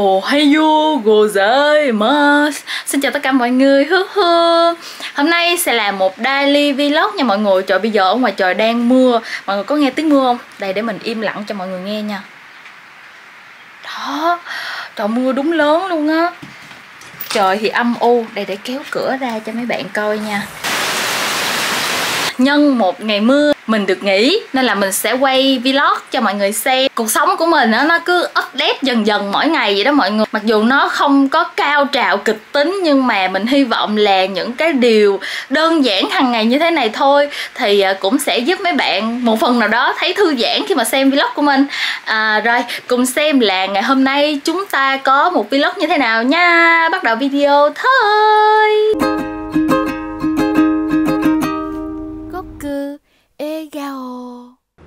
Ohayo gozaimasu Xin chào tất cả mọi người hứ hứ Hôm nay sẽ là một daily vlog nha mọi người Trời bây giờ ở ngoài trời đang mưa Mọi người có nghe tiếng mưa không? đâu đây để mình im lặng cho mọi người nghe nha đó trời mưa đúng lớn luôn á trời thì âm u đây để kéo cửa ra cho mấy bạn coi nha nhân một ngày mưa mình được nghỉ nên là mình sẽ quay vlog cho mọi người xem cuộc sống của mình đó, nó cứ update dần dần mỗi ngày vậy đó mọi người mặc dù nó không có cao trào kịch tính nhưng mà mình hy vọng là những cái điều đơn giản hàng ngày như thế này thôi thì à, cũng sẽ giúp mấy bạn một phần nào đó thấy thư giãn khi mà xem vlog của mình à, rồi cùng xem là ngày hôm nay chúng ta có một vlog như thế nào nha bắt đầu video thôi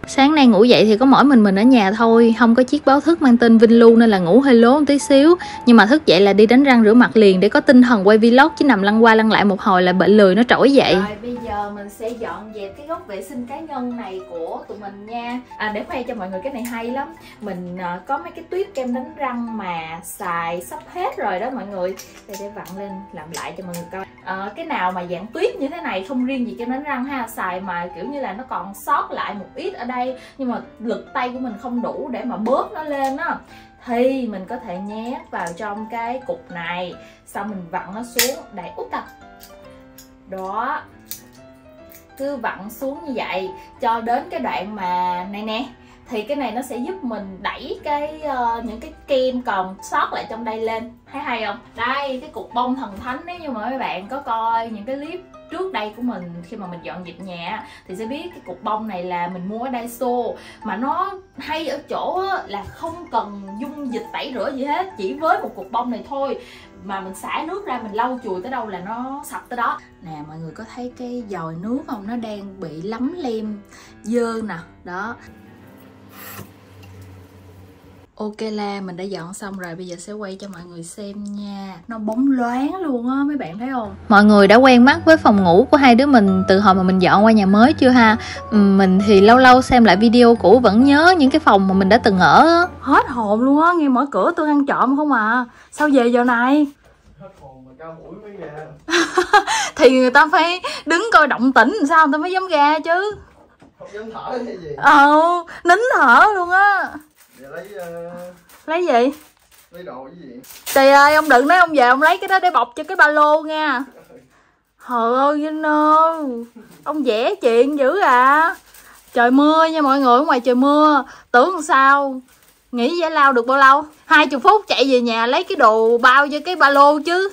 sáng nay ngủ dậy thì có mỗi mình mình ở nhà thôi không có chiếc báo thức mang tên Vinh Lu nên là ngủ hơi lố một tí xíu nhưng mà thức dậy là đi đánh răng rửa mặt liền để có tinh thần quay vlog chứ nằm lăn qua lăn lại một hồi là bệnh lười nó trỗi dậy rồi bây giờ mình sẽ dọn dẹp cái góc vệ sinh cá nhân này của tụi mình nha à, để khoe cho mọi người cái này hay lắm mình uh, có mấy cái tuyết kem đánh răng mà xài sắp hết rồi đó mọi người để để vặn lên làm lại cho mọi người coi à, cái nào mà dạng tuyết như thế này không riêng gì kem đánh răng ha xài mà kiểu như là nó còn sót lại một ít ở đây nhưng mà lực tay của mình không đủ để mà bóp nó lên á thì mình có thể nhét vào trong cái cục này xong mình vặn nó xuống đẩy út tập à. đó cứ vặn xuống như vậy cho đến cái đoạn mà này nè thì cái này nó sẽ giúp mình đẩy cái uh, những cái kem còn sót lại trong đây lên thấy hay không đây cái cục bông thần thánh nếu như mà mấy bạn có coi những cái clip trước đây của mình khi mà mình dọn dẹp nhà thì sẽ biết cái cục bông này là mình mua ở Daiso mà nó hay ở chỗ là không cần dung dịch tẩy rửa gì hết chỉ với một cục bông này thôi mà mình xả nước ra mình lau chùi tới đâu là nó sạch tới đó nè mọi người có thấy cái dòi nước không nó đang bị lấm lem dơ nè đó Ok là mình đã dọn xong rồi bây giờ sẽ quay cho mọi người xem nha Nó bóng loáng luôn á mấy bạn thấy không mọi người đã quen mắt với phòng ngủ của hai đứa mình từ hồi mà mình dọn qua nhà mới chưa ha ừ, mình thì lâu lâu xem lại video cũ vẫn nhớ những cái phòng mà mình đã từng ở hết hồn luôn á nghe mở cửa tôi ăn trộm không à sao về giờ này thì người ta phải đứng coi động tĩnh sao người ta mới dám ra chứ không dám thở hay gì ờ nín thở luôn á lấy uh... lấy gì lấy đồ cái gì tì ơi ông đừng nói ông về ông lấy cái đó để bọc cho cái ba lô nha Trời ơi Vinh ơi Ông vẽ chuyện dữ à Trời mưa nha mọi người ngoài trời mưa Tưởng sao Nghĩ giải lao được bao lâu 20 phút chạy về nhà lấy cái đồ bao cho cái ba lô chứ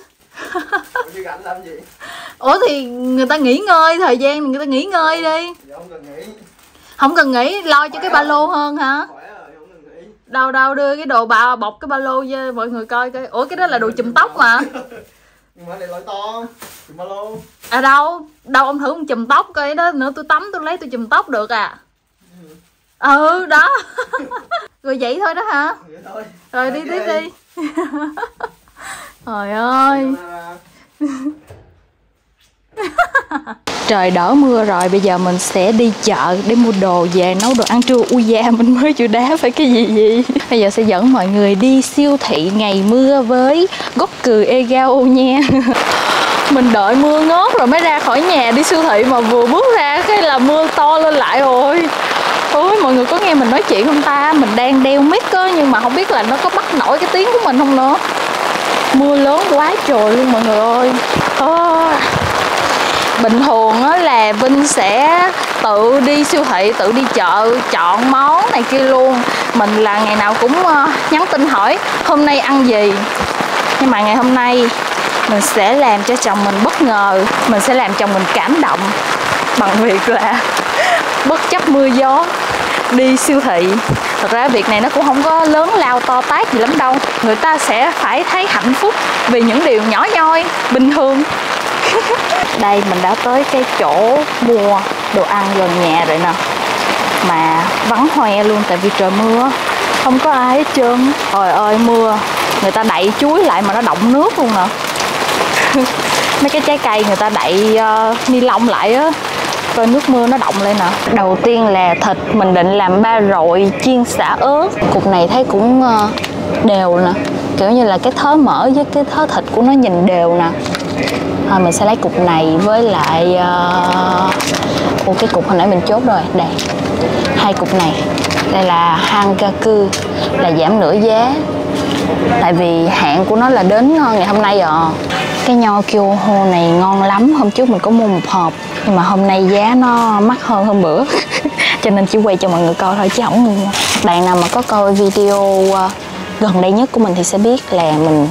Ủa thì người ta nghỉ ngơi Thời gian người ta nghỉ ngơi đi Không cần nghỉ Không cần nghỉ lo cho Khỏe cái ba lô hơn hả đâu đâu đưa cái đồ bà bọc cái ba lô cho mọi người coi coi ủa cái đó là đồ chùm tóc mà nhưng mà lại loại to chùm ba lô à đâu đâu ông thử ông chùm tóc coi cái đó nữa tôi tắm tôi lấy tôi chùm tóc được à ừ đó rồi vậy thôi đó hả vậy thôi. rồi đi tiếp đi trời ơi Trời đổ mưa rồi, bây giờ mình sẽ đi chợ để mua đồ về nấu đồ ăn trưa Ui da, mình mới chịu đá phải cái gì gì Bây giờ sẽ dẫn mọi người đi siêu thị ngày mưa với gốc cười Egao nha Mình đợi mưa ngớt rồi mới ra khỏi nhà đi siêu thị mà vừa bước ra cái là mưa to lên lại rồi Ôi mọi người có nghe mình nói chuyện không ta Mình đang đeo mic á nhưng mà không biết là nó có bắt nổi cái tiếng của mình không nữa mưa lớn quá trời luôn mọi người ơi à, bình thường á là vinh sẽ tự đi siêu thị tự đi chợ chọn món này kia luôn mình là ngày nào cũng ờ, nhắn tin hỏi hôm nay ăn gì nhưng mà ngày hôm nay mình sẽ làm cho chồng mình bất ngờ mình sẽ làm chồng mình cảm động bằng việc là bất chấp mưa gió đi siêu thị thật ra việc này nó cũng không có lớn lao to tát gì lắm đâu người ta sẽ phải thấy hạnh phúc vì những điều nhỏ nhoi bình thường đây mình đã tới cái chỗ mua đồ ăn gần nhà rồi nè mà vắng hoe luôn tại vì trời mưa không có ai hết trơn trời ơi mưa người ta đậy chuối lại mà nó động nước luôn nè mấy cái trái cây người ta đậy uh, ni lông lại á coi nước mưa nó động lên nè đầu tiên là thịt mình định làm ba rọi chiên xả ớt cục này thấy cũng ờ, đều nè kiểu như là cái thớ mỡ với cái thớ thịt của nó nhìn đều nè thôi mình sẽ lấy cục này với lại uh... Ủa, cái cục hồi nãy mình chốt rồi đây hai cục này đây là hangaku là giảm nửa giá tại vì hạn của nó là đến ngày hôm nay rồi à. cái nho kêu hô này ngon lắm hôm trước mình có mua một hộp học nhưng mà hôm nay giá nó mắc hơn hôm bữa cho nên chỉ quay cho mọi người coi thôi chứ không bạn nào mà có coi video ờ, gần đây nhất của mình thì sẽ biết là mình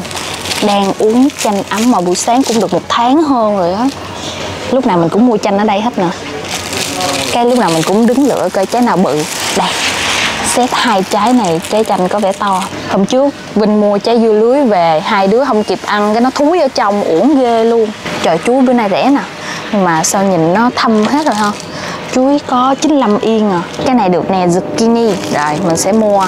đang uống chanh ấm mà buổi sáng cũng được một tháng hơn rồi á lúc nào mình cũng mua chanh ở đây hết nè cái lúc nào mình cũng đứng lựa coi trái nào bự đây xét hai trái này trái chanh có vẻ to hôm trước Vinh mua trái dưa lưới về hai đứa không kịp ăn cái nó thúi ở trong uổng ghê luôn trời chuối bữa nay rẻ nè nhưng mà sao nhìn nó thâm hết rồi ha chuối có 95 yên à cái này được nè zucchini rồi mình sẽ mua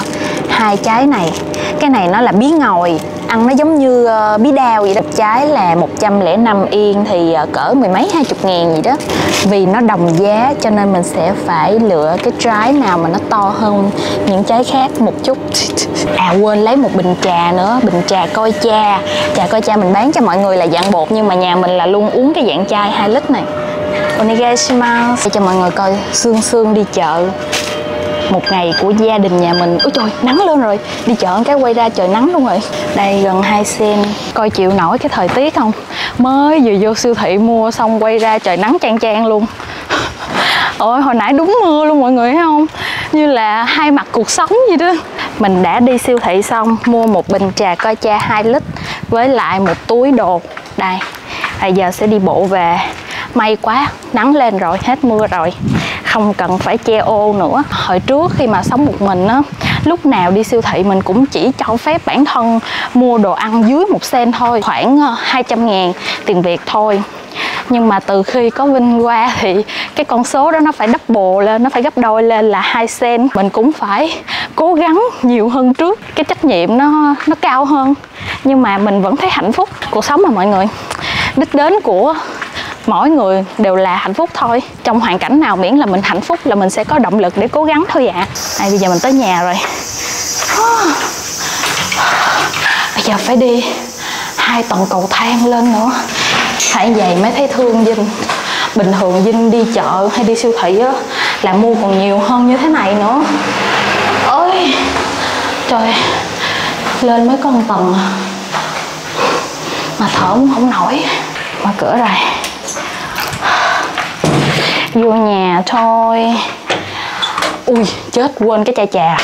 hai trái này cái này nó là bí ngòi ăn nó giống như uh, bí đao vậy đó trái là 105 yên thì uh, cỡ mười mấy hai chục ngàn gì đó vì nó đồng giá cho nên mình sẽ phải lựa cái trái nào mà nó to hơn những trái khác một chút chút à quên lấy một bình trà nữa bình trà coi cha trà coi cha mình bán cho mọi người là dạng bột nhưng mà nhà mình là luôn uống cái dạng chai 2 lít này onegaishimasu sẽ cho mọi người coi xương xương đi chợ một ngày của gia đình nhà mình ôi trời nắng lên rồi đi chợ cái quay ra trời nắng luôn rồi đây gần 2 sen coi chịu nổi cái thời tiết không mới vừa vô siêu thị mua xong quay ra trời nắng chang chang luôn ôi hồi nãy đúng mưa luôn mọi người thấy không như là hai mặt cuộc sống vậy đó mình đã đi siêu thị xong mua một bình trà coi cha 2 lít với lại một túi đồ đây à giờ sẽ đi bộ về may quá nắng lên rồi hết mưa rồi không cần phải che ô nữa hồi trước khi mà sống một mình á lúc nào đi siêu thị mình cũng chỉ cho phép bản thân mua đồ ăn dưới một sen thôi khoảng 200 ờ, ngàn tiền việt thôi nhưng mà từ khi có Vinh qua thì cái con số đó nó phải double lên, nó phải gấp đôi lên là 2 sen. Mình cũng phải cố gắng nhiều hơn trước, cái trách nhiệm nó nó cao hơn. Nhưng mà mình vẫn thấy hạnh phúc cuộc sống mà mọi người. Đích đến của mỗi người đều là hạnh phúc thôi trong hoàn cảnh nào miễn là mình hạnh phúc là mình sẽ có động lực để cố gắng thôi ạ à. à, bây giờ mình tới nhà rồi bây giờ phải đi hai tầng cầu thang lên nữa hãy vậy mới thấy thương dinh bình thường dinh đi chợ hay đi siêu thị á là mua còn nhiều hơn như thế này nữa ôi trời lên mấy con tầng à. mà thở cũng không nổi mở cửa rồi vô nhà thôi ui chết quên cái chai trà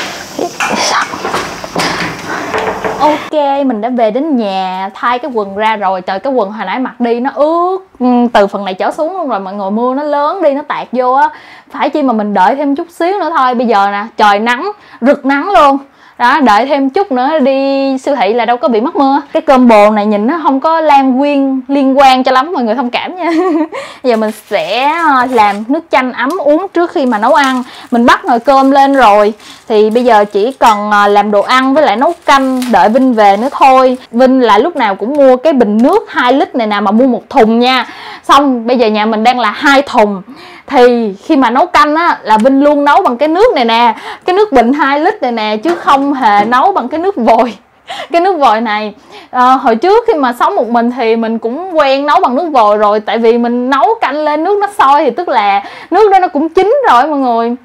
ok mình đã về đến nhà thay cái quần ra rồi trời cái quần hồi nãy mặc đi nó ướt ừ, từ phần này trở xuống luôn rồi mọi người mưa nó lớn đi nó tạt vô á phải chi mà mình đợi thêm chút xíu nữa thôi bây giờ nè trời nắng rực nắng luôn đó đợi thêm chút nữa đi siêu thị là đâu có bị mất mưa cái combo này nhìn nó không có lan quyên liên quan cho lắm mọi người thông cảm nha giờ mình sẽ ờ, làm nước chanh ấm uống trước khi mà nấu ăn mình bắt nồi cơm lên rồi thì bây giờ chỉ cần ờ, làm đồ ăn với lại nấu canh đợi Vinh về nữa thôi Vinh là lúc nào cũng mua cái bình nước 2 lít này nè mà mua một thùng nha xong bây giờ nhà mình đang là hai thùng thì khi mà nấu canh á là Vinh luôn nấu bằng cái nước này nè cái nước bình 2 lít này nè chứ không hề nấu bằng cái nước vòi cái nước vòi này à, hồi trước khi mà sống một mình thì mình cũng quen nấu bằng nước vòi rồi tại vì mình nấu canh lên nước nó sôi thì tức là nước đó nó cũng chín rồi mọi người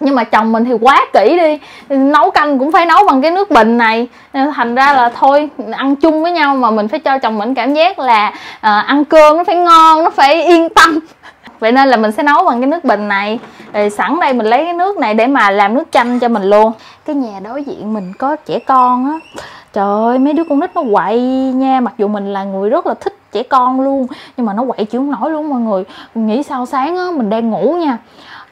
nhưng mà chồng mình thì quá kỹ đi nấu canh cũng phải nấu bằng cái nước bình này thành ra là thôi ăn chung với nhau mà mình phải cho chồng mình cảm giác là à, ăn cơm nó phải ngon nó phải yên tâm vậy nên là mình sẽ nấu bằng cái nước bình này rồi sẵn đây mình lấy cái nước này để mà làm nước chanh cho mình luôn cái nhà đối diện mình có trẻ con á trời ơi mấy đứa con nít nó quậy nha mặc dù mình là người rất là thích trẻ con luôn nhưng mà nó quậy chịu không nổi luôn mọi người mình nghĩ sao sáng á mình đang ngủ nha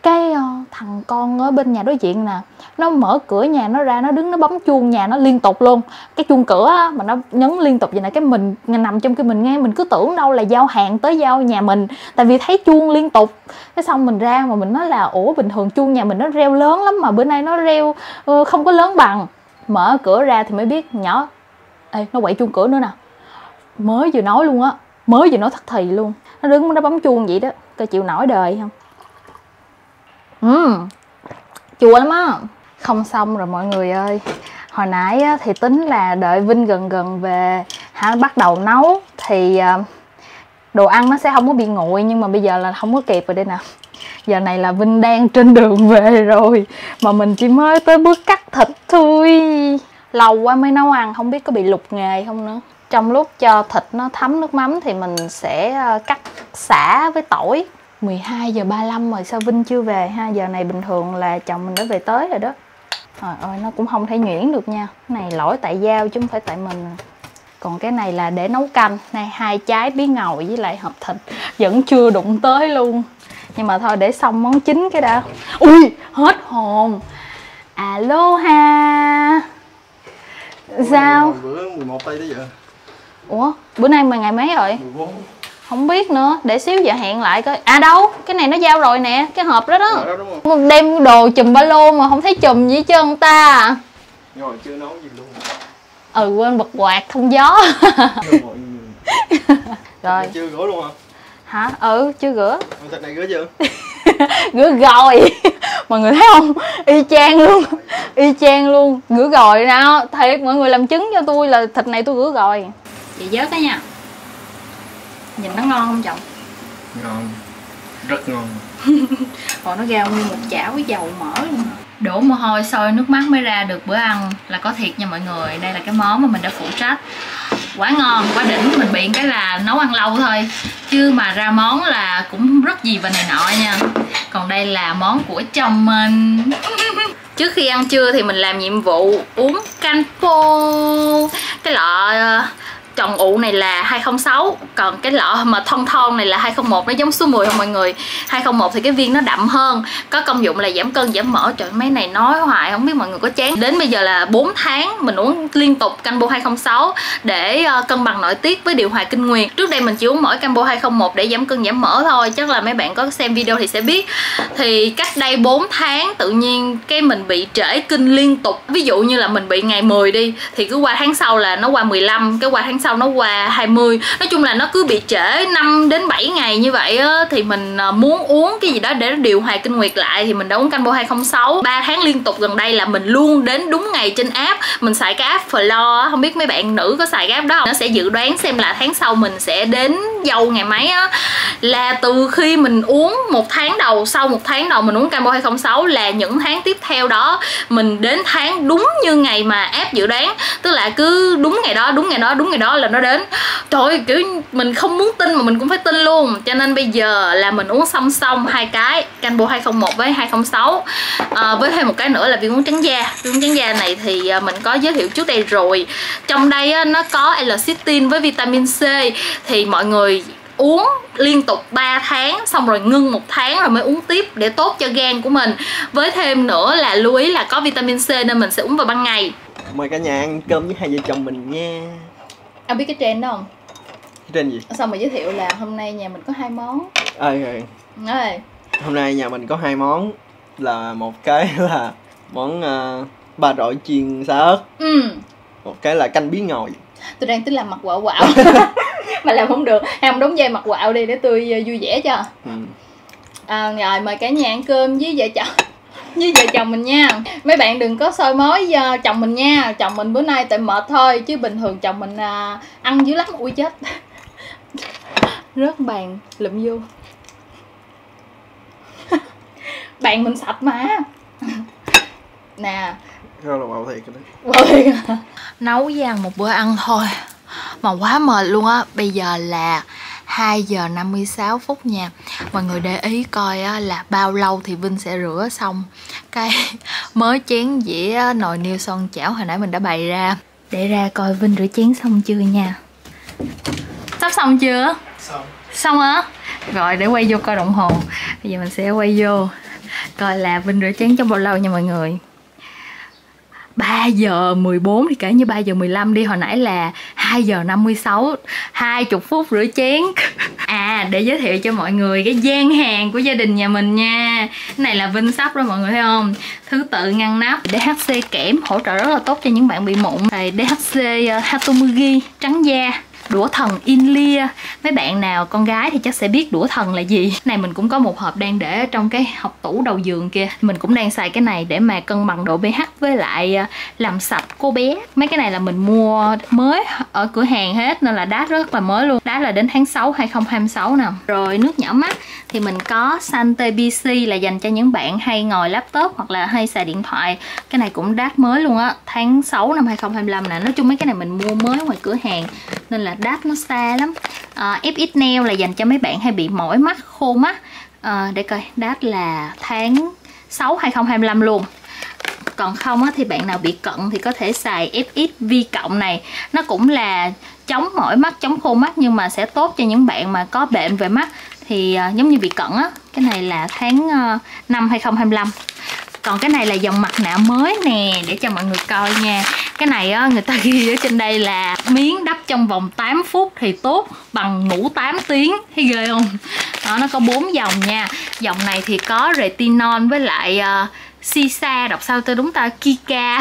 cái ờ, thằng con ở bên nhà đối diện nè nó mở cửa nhà nó ra nó đứng nó bấm chuông nhà nó liên tục luôn cái chuông cửa á, mà nó nhấn liên tục vậy nè cái mình nằm trong cái mình nghe mình cứ tưởng đâu là giao hàng tới giao nhà mình tại vì thấy chuông liên tục cái xong mình ra mà mình nói là ủa bình thường chuông nhà mình nó reo lớn lắm mà bữa nay nó reo Ờ, không có lớn bằng mở cửa ra thì mới biết nhỏ ê nó quậy chuông cửa nữa nè mới vừa nói luôn á mới vừa nói thất thì luôn nó đứng nó bấm chuông vậy đó coi chịu nổi đời không ừ uhm, chua lắm á không xong rồi mọi người ơi hồi nãy á, thì tính là đợi vinh gần gần về hả bắt đầu nấu thì ờ, đồ ăn nó sẽ không có bị nguội nhưng mà bây giờ là không có kịp rồi đây nè giờ này là Vinh đang trên đường về rồi mà mình chỉ mới tới bước cắt thịt thôi lâu quá mới nấu ăn không biết có bị lục nghề không nữa trong lúc cho thịt nó thấm nước mắm thì mình sẽ ờ, cắt xả với tỏi 12 giờ 35 rồi sao Vinh chưa về ha giờ này bình thường là chồng mình đã về tới rồi đó trời ơi nó cũng không thể nhuyễn được nha cái này lỗi tại dao chứ không phải tại mình còn cái này là để nấu canh này hai trái bí ngầu với lại hộp thịt vẫn chưa đụng tới luôn nhưng mà thôi để xong món chính cái đã ui hết hồn aloha sao bữa 11 tây tới giờ ủa bữa nay mà ngày mấy rồi 14 không biết nữa để xíu giờ hẹn lại coi à đâu cái này nó giao rồi nè cái hộp đó đó, dạ, đó đem đồ chùm ba lô mà không thấy chùm gì chứ ông ta ngồi chưa nấu gì luôn ừ quên bật quạt thông gió rồi chưa rửa luôn hả hả ừ chưa rửa thịt này rửa chưa rửa rồi mọi người thấy không y chang luôn y chang luôn rửa rồi nào thiệt mọi người làm chứng cho tôi là thịt này tôi rửa rồi chị vớt đó nha nhìn nó ngon không chồng ngon rất ngon còn nó rau như một chảo với dầu mỡ luôn đổ mồ hôi sôi nước mắt mới ra được bữa ăn là có thiệt nha mọi người đây là cái món mà mình đã phụ trách quá ngon quá đỉnh mình biện cái là nấu ăn lâu thôi chứ mà ra món là cũng rất gì và này nọ nha còn đây là món của chồng mình trước khi ăn trưa thì mình làm nhiệm vụ uống canh phô cái lọ trồng ờ, ụ này là 206 2001 còn cái lọ mà thon thon này là 201 nó giống số 10 không mọi người 201 thì cái viên nó đậm hơn có công dụng là giảm cân giảm mỡ trời mấy này nói hoài không biết mọi người có chán đến bây giờ là 4 tháng mình uống liên tục Cambo 206 để uh, cân bằng nội tiết với điều hòa kinh nguyệt trước đây mình chỉ uống mỗi Cambo 201 để giảm cân giảm mỡ thôi chắc là mấy bạn có xem video thì sẽ biết thì cách đây 4 tháng tự nhiên cái mình bị trễ kinh liên tục ví dụ như là mình bị ngày 10 đi thì cứ qua tháng sau là nó qua 15 cái qua tháng sau nó qua 20 nói chung là nó cứ bị trễ 5 đến 7 ngày như vậy á, thì mình à, muốn uống cái gì đó để điều hòa kinh nguyệt lại thì mình đã uống Canbo 206 3 tháng liên tục gần đây là mình luôn đến đúng ngày trên app mình xài cái app Flow không biết mấy bạn nữ có xài cái app đó không nó sẽ dự đoán xem là tháng sau mình sẽ đến dâu ngày mấy á là từ khi mình uống một tháng đầu sau một tháng đầu mình uống Canbo 206 là những tháng tiếp tiếp theo đó mình đến tháng đúng như ngày mà app dự đoán tức là cứ đúng ngày đó đúng ngày đó đúng ngày đó là nó đến trời ơi, kiểu mình không muốn tin mà mình cũng phải tin luôn cho nên bây giờ là mình uống song song hai cái canbo 201 với 206 à, với thêm một cái nữa là viên uống trắng da viên uống trắng da này thì à, mình có giới thiệu trước đây rồi trong đây nó có L-citin với vitamin C thì mọi người uống liên tục tục 3 tháng xong rồi ngưng một tháng rồi mới uống tiếp để tốt cho gan của mình với thêm nữa là lưu ý là có vitamin C nên mình sẽ uống vào ban ngày mời cả nhà ăn cơm với hai vợ chồng mình nha em biết cái trend đó không cái trend gì sao mà giới thiệu là hôm nay nhà mình có hai món ơi ơi ơi hôm nay nhà mình có hai món là một cái là món uh, ba rọi chiên xá ớt ừ. một cái là canh bí ngòi tôi đang tính làm mặt quạo quạo mà làm không được hay không đóng dây mặt quạo đi để tôi ờ, vui vẻ cho ừ. à, rồi mời cả nhà ăn cơm với vợ chồng với vợ chồng mình nha mấy bạn đừng có soi mói ờ, chồng mình nha chồng mình bữa nay tại mệt thôi chứ bình thường chồng mình à, ăn dữ lắm ui chết rớt bàn lụm vô bàn mình sạch mà nè không là bạo thiệt cái đấy Bạo thiệt à? Nấu với ăn một bữa ăn thôi Mà quá mệt luôn á Bây giờ là 2 giờ 56 phút nha Mọi người để ý coi á, là bao lâu thì Vinh sẽ rửa xong Cái mới chén dĩa nồi niêu son chảo hồi nãy mình đã bày ra Để ra coi Vinh rửa chén xong chưa nha Sắp xong chưa? Xong Xong á? Rồi để quay vô coi đồng hồ Bây giờ mình sẽ quay vô Coi là Vinh rửa chén trong bao lâu nha mọi người 3 giờ 14 thì kể như 3 giờ 15 đi hồi nãy là 2 giờ 56 20 phút rửa chén À để giới thiệu cho mọi người cái gian hàng của gia đình nhà mình nha Cái này là Vinh Sắp đó mọi người thấy không Thứ tự ngăn nắp DHC kẽm hỗ trợ rất là tốt cho những bạn bị mụn Đây DHC ờ, Hatomugi trắng da đũa thần Inlia mấy bạn nào con gái thì chắc sẽ biết đũa thần là gì này mình cũng có một hộp đang để ở trong cái hộc tủ đầu giường kia mình cũng đang xài cái này để mà cân bằng độ pH với lại à, làm sạch cô bé mấy cái này là mình mua mới ở cửa hàng hết nên là đá rất là mới luôn đá là đến tháng 6 2026 nè rồi nước nhỏ mắt thì mình có Sante BC là dành cho những bạn hay ngồi laptop hoặc là hay xài điện thoại cái này cũng đát mới luôn á tháng 6 năm 2025 nè nói chung mấy cái này mình mua mới ngoài cửa hàng nên là đáp nó xa lắm à, ờ, FX nail là dành cho mấy bạn hay bị mỏi mắt khô mắt à, để coi đáp là tháng 6 2025 luôn còn không á, thì bạn nào bị cận thì có thể xài FX vi cộng này nó cũng là chống mỏi mắt chống khô mắt nhưng mà sẽ tốt cho những bạn mà có bệnh về mắt thì uh, giống như bị cận á cái này là tháng uh, 5 2025 còn cái này là dòng mặt nạ mới nè để cho mọi người coi nha cái này á người ta ghi ở trên đây là miếng đắp trong vòng 8 phút thì tốt bằng ngủ 8 tiếng thấy ghê không đó nó có bốn dòng nha dòng này thì có retinol với lại uh, Sisa đọc sao tôi đúng ta Kika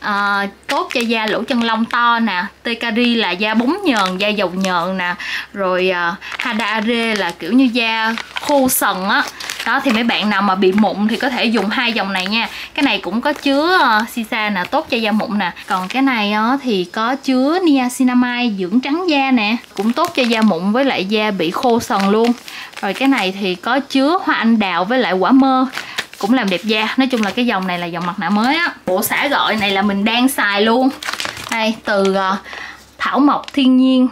à, tốt cho da lỗ chân lông to nè Tekari là da bóng nhờn da dầu nhờn nè rồi à, ờ, Hadaare là kiểu như da khô sần á đó thì mấy bạn nào mà bị mụn thì có thể dùng hai dòng này nha cái này cũng có chứa uh, sisa nè tốt cho da mụn nè còn cái này uh, thì có chứa niacinamide dưỡng trắng da nè cũng tốt cho da mụn với lại da bị khô sần luôn rồi cái này thì có chứa hoa anh đào với lại quả mơ cũng làm đẹp da nói chung là cái dòng này là dòng mặt nạ mới á bộ xả gọi này là mình đang xài luôn đây từ uh, thảo mộc thiên nhiên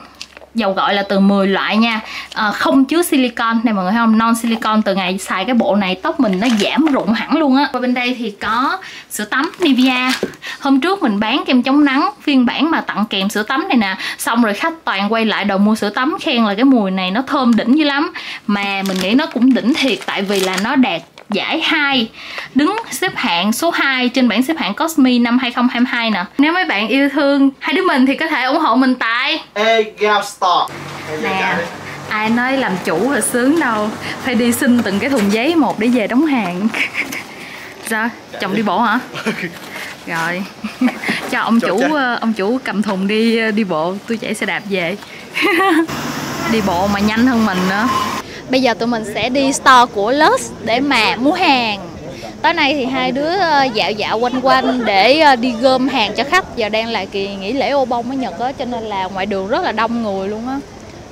dầu gội là từ 10 loại nha à, không chứa silicon này mọi người thấy không non silicon từ ngày xài cái bộ này tóc mình nó giảm rụng hẳn luôn á và bên đây thì có sữa tắm Nivea hôm trước mình bán kem chống nắng phiên bản mà tặng kèm sữa tắm này nè xong rồi khách toàn quay lại đầu mua sữa tắm khen là cái mùi này nó thơm đỉnh dữ lắm mà mình nghĩ nó cũng đỉnh thiệt tại vì là nó đạt giải 2 đứng xếp hạng số 2 trên bảng xếp hạng Cosme năm 2022 nè. Nếu mấy bạn yêu thương hai đứa mình thì có thể ủng hộ mình tại đây Egao Store Nè Ai nói làm chủ là sướng đâu Phải đi xin từng cái thùng giấy một để về đóng hàng Sao? Dạ, Chồng đi bộ hả? Rồi Cho ông Chậu chủ chắc. Ờ, ông chủ cầm thùng đi ờ, đi bộ Tôi chạy xe đạp về Đi bộ mà nhanh hơn mình nữa Bây giờ tụi mình sẽ đi store của Lux để mà mua hàng tối nay thì hai đứa ờ, dạo dạo quanh quanh để ờ, đi gom hàng cho khách giờ đang là kỳ nghỉ lễ ô bông ở nhật á cho nên là ngoài đường rất là đông người luôn á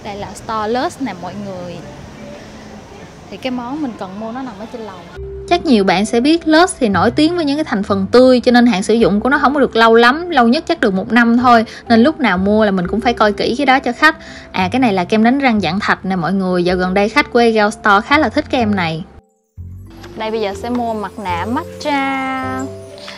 đây là starless nè mọi người thì cái món mình cần mua nó nằm ở trên lầu Chắc nhiều bạn sẽ biết Lush thì nổi tiếng với những cái thành phần tươi cho nên hạn sử dụng của nó không có được lâu lắm, lâu nhất chắc được một năm thôi. Nên lúc nào mua là mình cũng phải coi kỹ cái đó cho khách. À cái này là kem đánh răng dạng thạch nè mọi người, dạo gần đây khách của Egal Store khá là thích kem này. Đây bây giờ sẽ mua mặt nạ matcha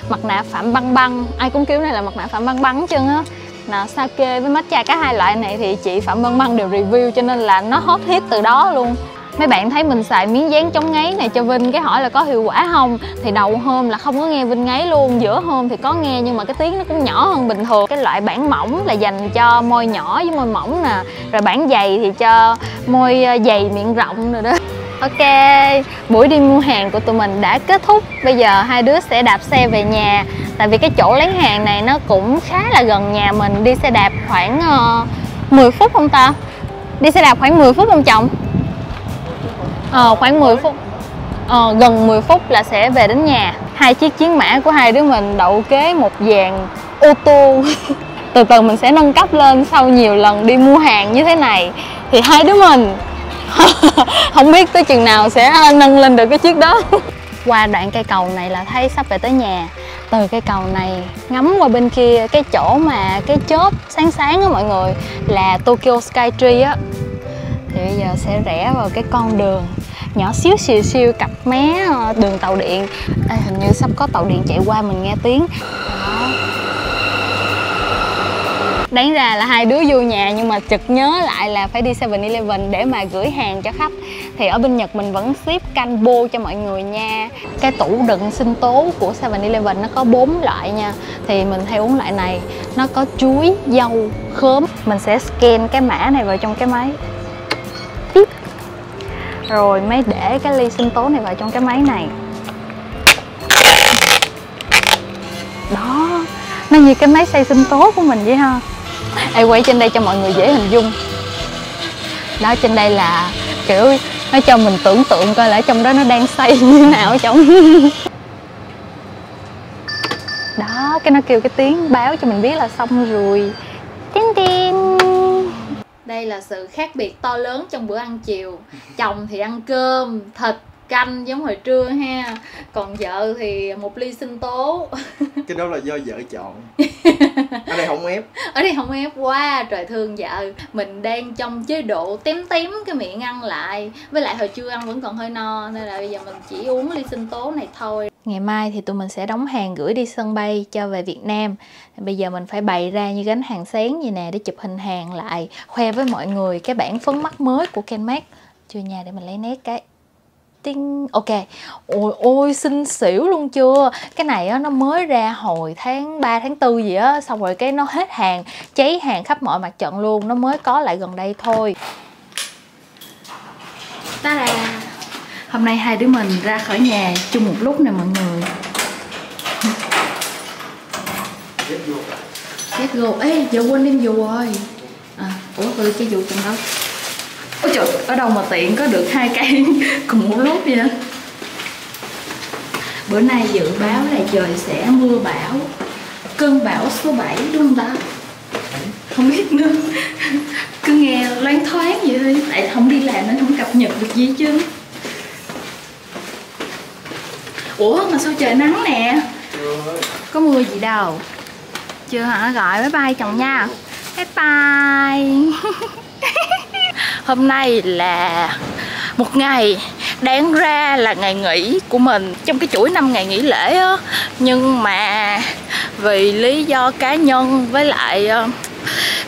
Mặt nạ phạm băng băng Ai cũng kiểu này là mặt nạ phạm băng băng chân á Nà, sake với matcha cả hai loại này thì chị Phạm Băng Băng đều review cho nên là nó hot hit từ đó luôn mấy bạn thấy mình xài miếng dán chống ngáy này cho Vinh cái hỏi là có hiệu quả không thì đầu hôm là không có nghe Vinh ngáy luôn giữa hôm thì có nghe nhưng mà cái tiếng nó cũng nhỏ hơn bình thường cái loại bản mỏng là dành cho môi nhỏ với môi mỏng nè nè rồi bản giày thì cho môi ờ, giày miệng rộng rồi đó Ok, buổi đi mua hàng của tụi mình đã kết thúc Bây giờ hai đứa sẽ đạp xe về nhà Tại vì cái chỗ lấy hàng này nó cũng khá là gần nhà mình Đi xe đạp khoảng uh, ờ, 10 phút không ta? Đi xe đạp khoảng 10 phút không chồng? Ờ, khoảng 10 phút ờ, Gần 10 phút là sẽ về đến nhà Hai chiếc chiến mã của hai đứa mình đậu kế một dàn ô tô từ từ mình sẽ nâng cấp lên sau nhiều lần đi mua hàng như thế này thì hai đứa mình không biết tới chừng nào sẽ nâng lên được cái chiếc đó qua đoạn cây cầu này là thấy sắp về tới nhà từ cây cầu này ngắm qua bên kia cái chỗ mà cái chớp sáng sáng á mọi người là Tokyo Sky Tree á thì bây giờ sẽ rẽ vào cái con đường nhỏ xíu xìu xìu cặp rạch mé đường tàu điện à, hình như sắp có tàu điện chạy qua mình nghe tiếng đó đáng ra là hai đứa vô nhà nhưng mà chực nhớ lại là phải đi 7-Eleven để mà gửi hàng cho khách thì ở bên Nhật mình vẫn ship canbo cho mọi người nha cái tủ đựng sinh tố của 7-Eleven nó có bốn loại nha thì mình hay uống loại này nó có chuối, dâu, khóm mình sẽ scan cái mã này vào trong cái máy Tiếp nước rồi mới để cái ly sinh tố này vào trong cái máy này đó nó như cái máy xay sinh tố của mình vậy ha em quay trên đây cho mọi người dễ hình dung đó trên đây là kiểu nó cho mình tưởng tượng coi là trong đó nó đang xay như nào ở trong đó cái nó kêu cái tiếng báo cho mình biết là xong rồi tin tin đây là sự khác biệt to lớn trong bữa ăn chiều chồng thì ăn cơm thịt canh giống hồi trưa ha còn vợ thì một ly sinh tố cái đó là do vợ chọn ở đây không ép ở đây không ép quá trời thương vợ mình đang trong chế độ tém tém cái miệng ăn lại với lại hồi trưa ăn vẫn còn hơi no nên là bây giờ mình chỉ uống ly sinh tố này thôi ngày mai thì tụi mình sẽ đóng hàng gửi đi sân bay cho về việt nam bây giờ mình phải bày ra như gánh hàng sáng như nè để chụp hình hàng lại khoe với mọi người cái bản phấn mắt mới của Kenmart chưa nha để mình lấy nét cái tiếng ok ôi ôi xinh xỉu luôn chưa cái này á nó mới ra hồi tháng 3 tháng 4 gì á xong rồi cái nó hết hàng cháy hàng khắp mọi mặt trận luôn nó mới có lại gần đây thôi ta là hôm nay hai đứa mình ra khỏi nhà chung một lúc nè mọi người ghét gột à? ê giờ quên đem dù rồi à, ủa ừ cái dù trong đó ôi trời ở đâu mà tiện có được hai cây cùng một lúc vậy bữa nay dự báo là trời sẽ mưa bão cơn bão số 7 đúng không ta không biết nữa cứ nghe loáng thoáng vậy thôi tại không đi làm nên không cập nhật được gì chứ ủa mà sao trời nắng nè có mưa gì đâu chưa hả gọi bye bye chồng nha bye bye hôm nay là một ngày đáng ra là ngày nghỉ của mình trong cái chuỗi năm ngày nghỉ lễ á nhưng mà vì lý do cá nhân với lại ờ,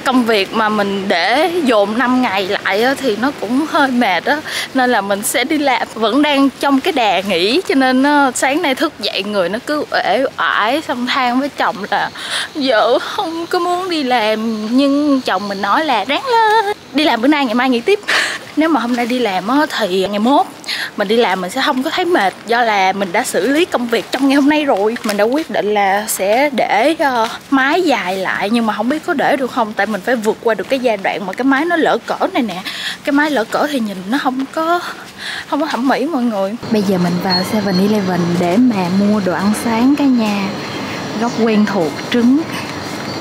công việc mà mình để dồn 5 ngày lại á, thì nó cũng hơi mệt á nên là mình sẽ đi làm vẫn đang trong cái đà nghỉ cho nên á, sáng nay thức dậy người nó cứ uể oải xong than với chồng là vợ không có muốn đi làm nhưng chồng mình nói là ráng lên đi làm bữa nay ngày mai nghỉ tiếp nếu mà hôm nay đi làm á, thì ngày mốt mình đi làm mình sẽ không có thấy mệt do là mình đã xử lý công việc trong ngày hôm nay rồi mình đã quyết định là là sẽ để uh, mái dài lại nhưng mà không biết có để được không tại mình phải vượt qua được cái giai đoạn mà cái mái nó lỡ cỡ này nè cái mái lỡ cỡ thì nhìn nó không có không có thẩm mỹ mọi người bây giờ mình vào 7 Eleven để mà mua đồ ăn sáng cả nhà góc quen thuộc trứng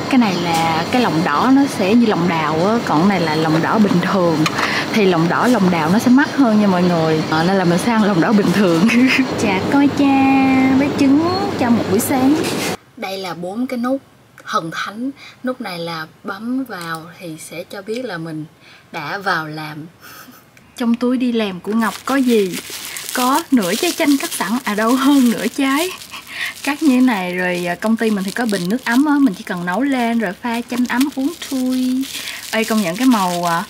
cái này là cái lòng đỏ nó sẽ như lòng đào á còn này là lòng đỏ bình thường thì lòng đỏ lòng đào nó sẽ mắc mắc hơn nha mọi người à, nên là mình sang lòng đỏ bình thường chả dạ, coi cha với trứng cho một buổi sáng đây là bốn cái nút thần thánh nút này là bấm vào thì sẽ cho biết là mình đã vào làm trong túi đi làm của ngọc có gì có nửa trái chanh cắt sẵn à đâu hơn nửa trái cắt như thế này rồi à, công ty mình thì có bình nước ấm á mình chỉ cần nấu lên rồi pha chanh ấm uống thui ê công nhận cái màu à,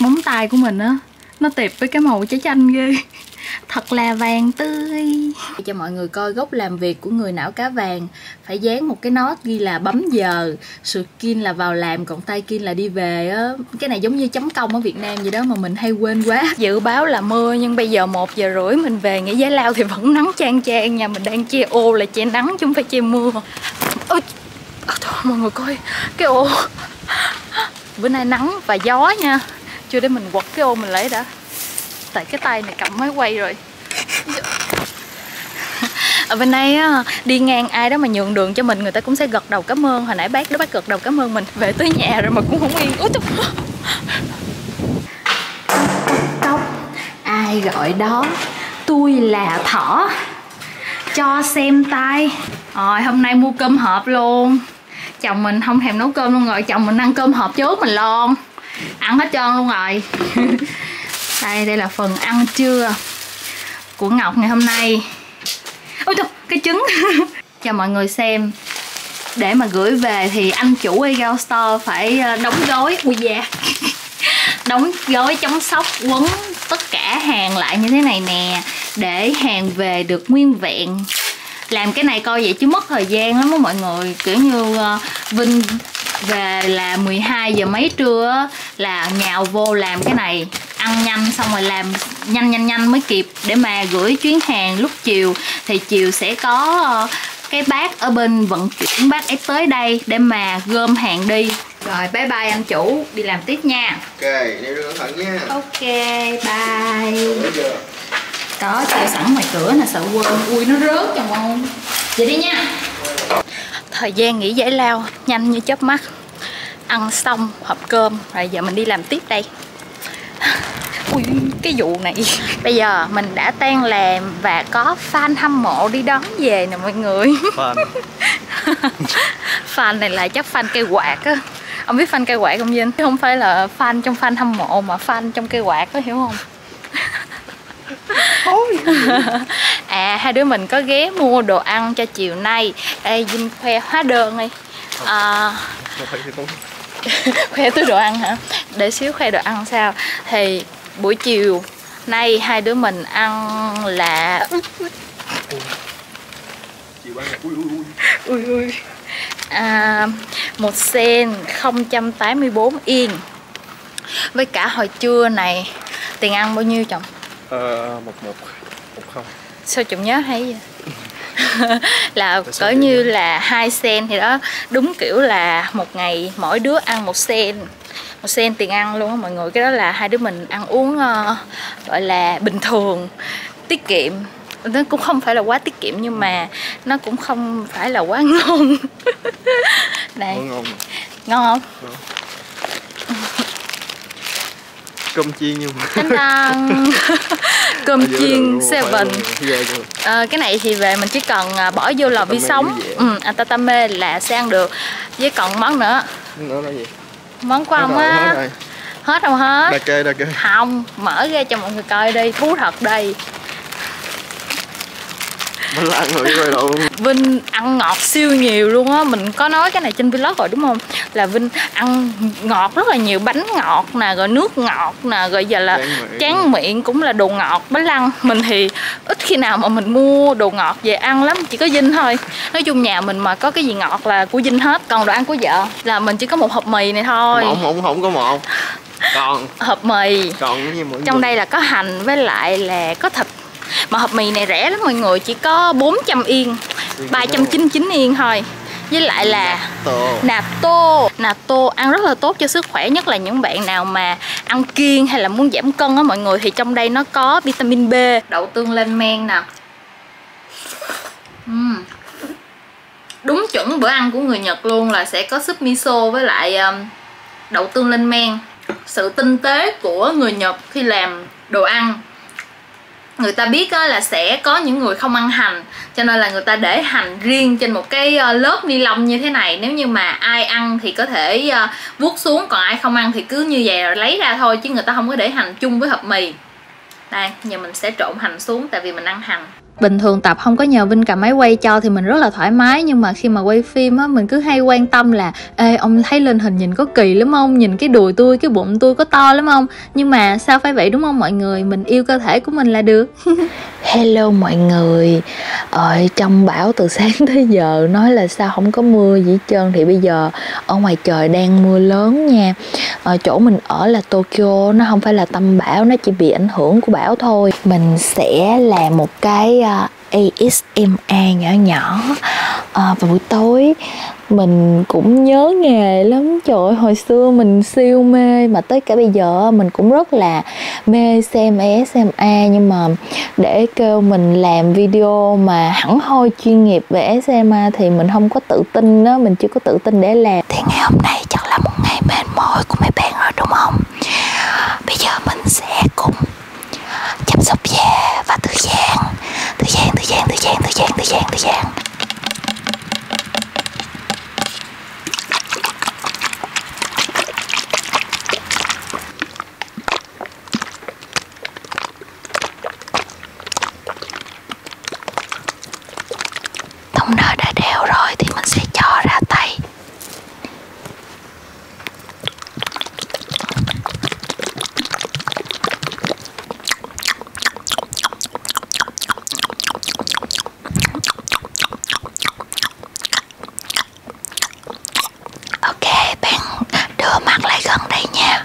móng tay của mình á nó tệp với cái màu trái chanh ghê thật là vàng tươi cho mọi người coi gốc làm việc của người não cá vàng phải dán một cái nốt ghi là bấm giờ skin là vào làm còn tay kia là đi về á cái này giống như chấm công ở việt nam vậy đó mà mình hay quên quá dự báo là mưa nhưng bây giờ một giờ rưỡi mình về nghĩa giá lao thì vẫn nắng chang chang nhà mình đang che ô là che nắng chứ không phải che mưa ôi à, thôi mọi người coi cái ô bữa nay nắng và gió nha chưa để mình quật cái ô mình lấy đã tại cái tay này cầm máy quay rồi ở bên đây đi ngang ai đó mà nhường đường cho mình người ta cũng sẽ gật đầu cảm ơn hồi nãy bác đó bác gật đầu cảm ơn mình về tới nhà rồi mà cũng không yên út ai gọi đó tôi là thỏ cho xem tay rồi hôm nay mua cơm hộp luôn chồng mình không thèm nấu cơm luôn rồi chồng mình ăn cơm hộp trước mình luôn ăn hết trơn luôn rồi đây đây là phần ăn trưa của ngọc ngày hôm nay ôi trời cái trứng cho mọi người xem để mà gửi về thì anh chủ Egao Store phải ờ, đóng gói ui da đóng gói chống sóc quấn tất cả hàng lại như thế này nè để hàng về được nguyên vẹn làm cái này coi vậy chứ mất thời gian lắm á mọi người kiểu như ờ, Vinh về là 12 giờ mấy trưa là nhào vô làm cái này ăn nhanh xong rồi làm nhanh nhanh nhanh mới kịp để mà gửi chuyến hàng lúc chiều thì chiều sẽ có ờ, cái bác ở bên vận chuyển bác ấy tới đây để mà gom hàng đi rồi bye bye anh chủ đi làm tiếp nha ok đi đưa thận nha ok bye có treo sẵn ngoài cửa nè sợ quên ui nó rớt chồng không vậy đi nha thời gian nghỉ giải lao nhanh như chớp mắt ăn xong hộp cơm rồi giờ mình đi làm tiếp đây ui cái vụ này bây giờ mình đã tan làm và có fan hâm mộ đi đón về nè mọi người fan fan này là chắc các fan cây quạt á ông biết fan cây quạt không Vinh không phải là fan trong fan hâm mộ mà fan trong cây quạt có hiểu không à hai đứa mình có ghé mua đồ ăn cho chiều nay đây Vinh khoe hóa đơn đi à, khoe túi đồ ăn hả để xíu khoe đồ ăn sao thì buổi chiều nay hai đứa mình ăn là chị bán là ui ui ui ui ui à, một sen 084 yên với cả hồi trưa này tiền ăn bao nhiêu chồng ờ một một một không sao chồng nhớ hay vậy là cỡ như vậy? là hai sen thì đó đúng kiểu là một ngày mỗi đứa ăn một sen một sen tiền ăn luôn á mọi người cái đó là hai đứa mình ăn uống ờ, uh, gọi là bình thường tiết kiệm nó cũng không phải là quá tiết kiệm nhưng mà nó cũng không phải là quá ngon này ngon, ngon không ngon. cơm chiên nhưng mà Đánh đăng. cơm chiên seven à, cái này thì về mình chỉ cần à, bỏ vô lò vi sóng ừ, atatame à, là sẽ ăn được với còn món nữa món nữa là gì món quà á hết, hết không hết đà kê đà kê không mở ra cho mọi người coi đi thú thật đi Vinh ăn rồi rồi đâu Vinh ăn ngọt siêu nhiều luôn á Mình có nói cái này trên vlog rồi đúng không Là Vinh ăn ngọt rất là nhiều Bánh ngọt nè, rồi nước ngọt nè Rồi giờ là tráng miệng. miệng cũng là đồ ngọt Bánh lăng Mình thì ít khi nào mà mình mua đồ ngọt ngọt về ăn lắm chỉ có dinh thôi nói chung nhà mình mà có cái gì ngọt là của dinh hết còn đồ ăn của vợ là mình chỉ có một hộp mì này thôi không không không có một còn hộp mì còn cái gì mỗi trong người. đây là có hành với lại là có thịt mà hộp mì này rẻ lắm mọi người chỉ có 400 yên 399 yên thôi với lại là nạp tô nạp tô ăn rất là tốt cho sức khỏe nhất là những bạn nào mà ăn kiêng hay là muốn giảm cân á mọi người thì trong đây nó có vitamin B đậu tương lên men nè uhm. đúng chuẩn bữa ăn của người nhật luôn là sẽ có súp miso với lại um, đậu tương lên men sự tinh tế của người nhật khi làm đồ ăn người ta biết là sẽ có những người không ăn hành cho nên là người ta để hành riêng trên một cái ờ, lớp ni lông như thế này nếu như mà ai ăn thì có thể ờ, vuốt xuống còn ai không ăn thì cứ như vậy rồi lấy ra thôi chứ người ta không có để hành chung với hộp mì đây giờ mình sẽ trộn hành xuống tại vì mình ăn hành bình thường tập không có nhờ vinh cầm máy quay cho thì mình rất là thoải mái nhưng mà khi mà quay phim á mình cứ hay quan tâm là ê ông thấy lên hình nhìn có kỳ lắm không nhìn cái đùi tôi cái bụng tôi có to lắm không nhưng mà sao phải vậy đúng không mọi người mình yêu cơ thể của mình là được hello mọi người ờ trong bão từ sáng tới giờ nói là sao không có mưa gì hết trơn thì bây giờ ở ngoài ngoài trời đang mưa lớn nha ở ờ, chỗ mình ở là Tokyo nó không phải là tâm bão nó chỉ bị ảnh hưởng của bão thôi mình sẽ làm một cái ờ, ASMR nhỏ nhỏ à, vào buổi tối mình cũng nhớ nghề lắm trời ơi hồi xưa mình siêu mê mà tới cả bây giờ mình cũng rất là mê xem ASMR nhưng mà để kêu mình làm video mà hẳn hoi chuyên nghiệp về SMA thì mình không có tự tin đó mình chưa có tự tin để làm thì ngày hôm nay chắc là một ngày mệt mỏi của mấy bạn rồi đúng không bây giờ mình sẽ cùng chăm sóc da và thư giãn thư giãn thư giãn thư giãn thư giãn thư giãn thư giãn thông nơ đã đều rồi thì mình sẽ cho ra tay ok bạn đưa mặt lại gần đây nha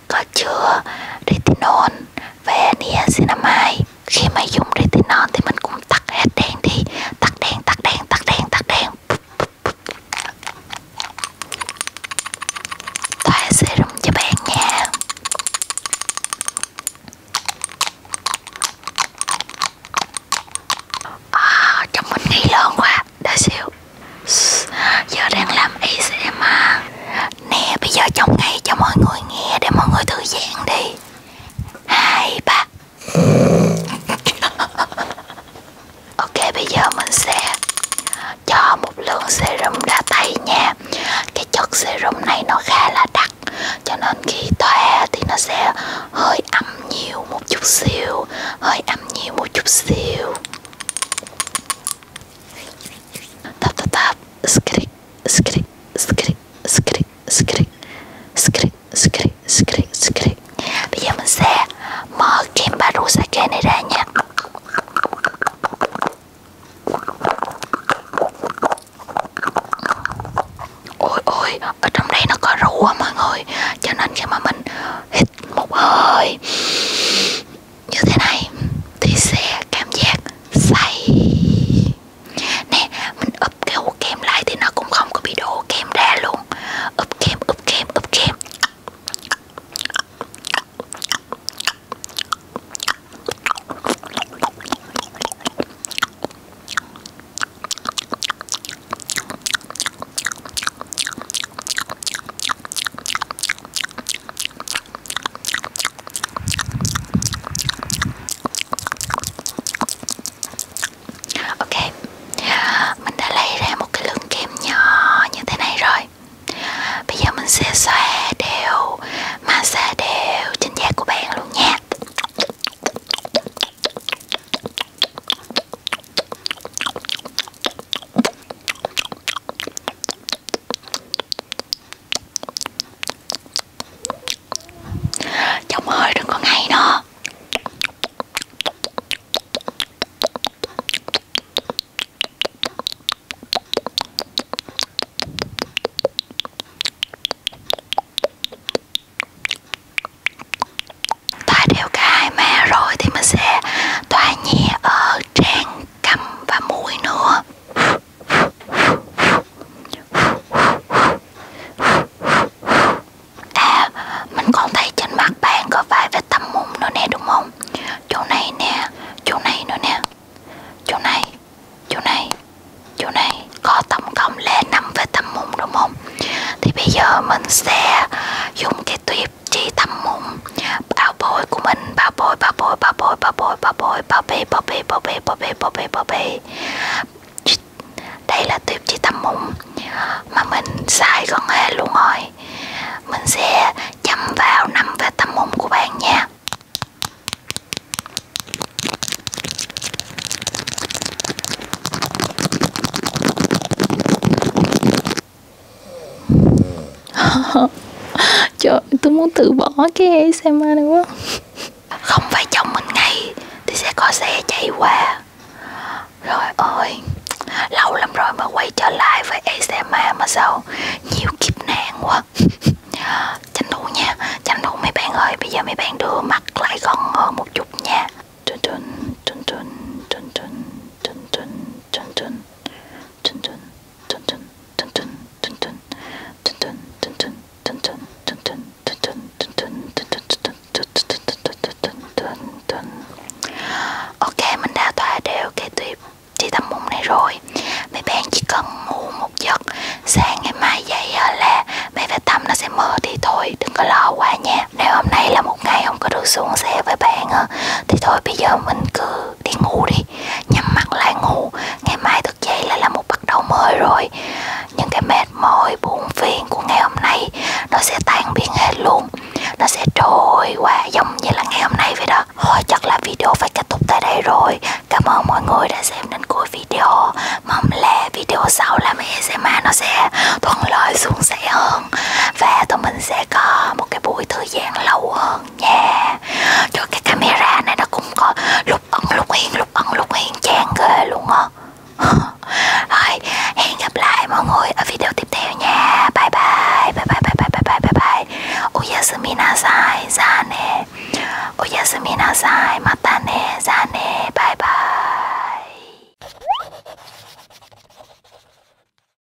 thuốc chữa retinol về niacinamide khi mà dùng retinol thì mình cũng tắt hết đèn đi tắt đèn tắt đèn tắt đèn tắt đèn thoa serum cho bạn nha à, chồng mình nghi lớn quá đã xỉu Giờ đang làm ASMR Nè bây giờ trong ngay cho mọi người nghe để mọi người thư giãn đi Hai ba Ok bây giờ mình sẽ cho một lượng serum ra tay nha Cái chất serum này nó khá là đặc Cho nên khi thoa thì nó sẽ hơi ấm nhiều một chút xíu Hơi ấm nhiều một chút xíu Tap tap tap, skrik, skrik, skrik, skrik, skrik, skrik, skrik, skrik, skrik. Bây giờ mình sẽ mở kem baru sake này ra nha. Ôi ôi, ở trong đây nó có rượu á mọi người, cho nên khi mà mình hít một hơi như thế này thì sẽ cảm giác say nè mình úp cái hũ kem lại thì nó cũng không có bị đổ kem ra luôn úp kem úp kem úp kem Ok, mình đã lấy ra một cái lượng kem nhỏ như thế này rồi Bây giờ mình sẽ xoa đều, massage đều trên da của bạn luôn nha Chồng ơi đừng có ngay nữa Tòa đều cái hai ma rồi thì mình sẽ tòa nhẹ ở trang cầm và mũi nữa à mình còn thấy trên mặt bạn có vài vết tăm mụn nữa nè đúng không chỗ này nè chỗ này nữa nè chỗ này chỗ này chỗ này có tổng cộng là năm vết tăm mụn đúng không thì bây giờ mình sẽ dùng cái tuyếp chị tâm mộng bảo bối của mình bảo bối bảo bối bảo bối bảo bối bảo bối bảo bê bảo bê bảo bê bảo bê bảo bê bảo bê đây là tuyếp chị tâm mộng mà mình xài gần hết luôn rồi mình sẽ chăm vào nằm về tâm mộng của bạn nha Trời tôi muốn từ bỏ cái e xe-ma này quá Không phải chồng mình ngay Thì sẽ có xe chạy qua Rồi ơi Lâu lắm rồi mà quay trở lại với e xe-ma mà sao Nhiều kiếp nạn quá Tranh thủ nha Tranh thủ mấy bạn ơi Bây giờ mấy bạn đưa mặt lại gần hơn một chút nha Trun trun trun trun trun trun trun trun trun Ok mình đã thoa đều cái tuyếp chỉ tầm mụn này rồi Mấy bạn chỉ cần ngủ một giấc Sáng ngày mai dậy ờ, là mấy vết tắm nó sẽ mờ thì thôi đừng có lo quá nha Nếu hôm nay là một ngày không có được xuống xe với bạn ờ, Thì thôi bây giờ mình cứ đi ngủ đi nhắm mắt lại ngủ ngày mai thức dậy lại là một bắt đầu mới rồi những cái mệt mỏi buồn phiền của ngày hôm nay nó sẽ tan biến hết luôn nó sẽ trôi qua giống như là ngày hôm nay vậy đó thôi chắc là video phải kết thúc tại đây rồi cảm ơn mọi người đã xem đến cuối video mong là video sau làm ASMR nó sẽ thuận lợi suôn sẻ hơn và tụi mình sẽ có một cái buổi thư thời gian lâu hơn nha Trời cái camera này nó cũng có lúc ẩn lúc hiện lúc ẩn lúc hiện chán ghê luôn á Rồi hẹn gặp lại mọi người ở video tiếp theo nha Bye bye bye bye bye bye bye bye bye bye Oyasumi nasai ra nè Oyasumi nasai mata nè ra nè bye bye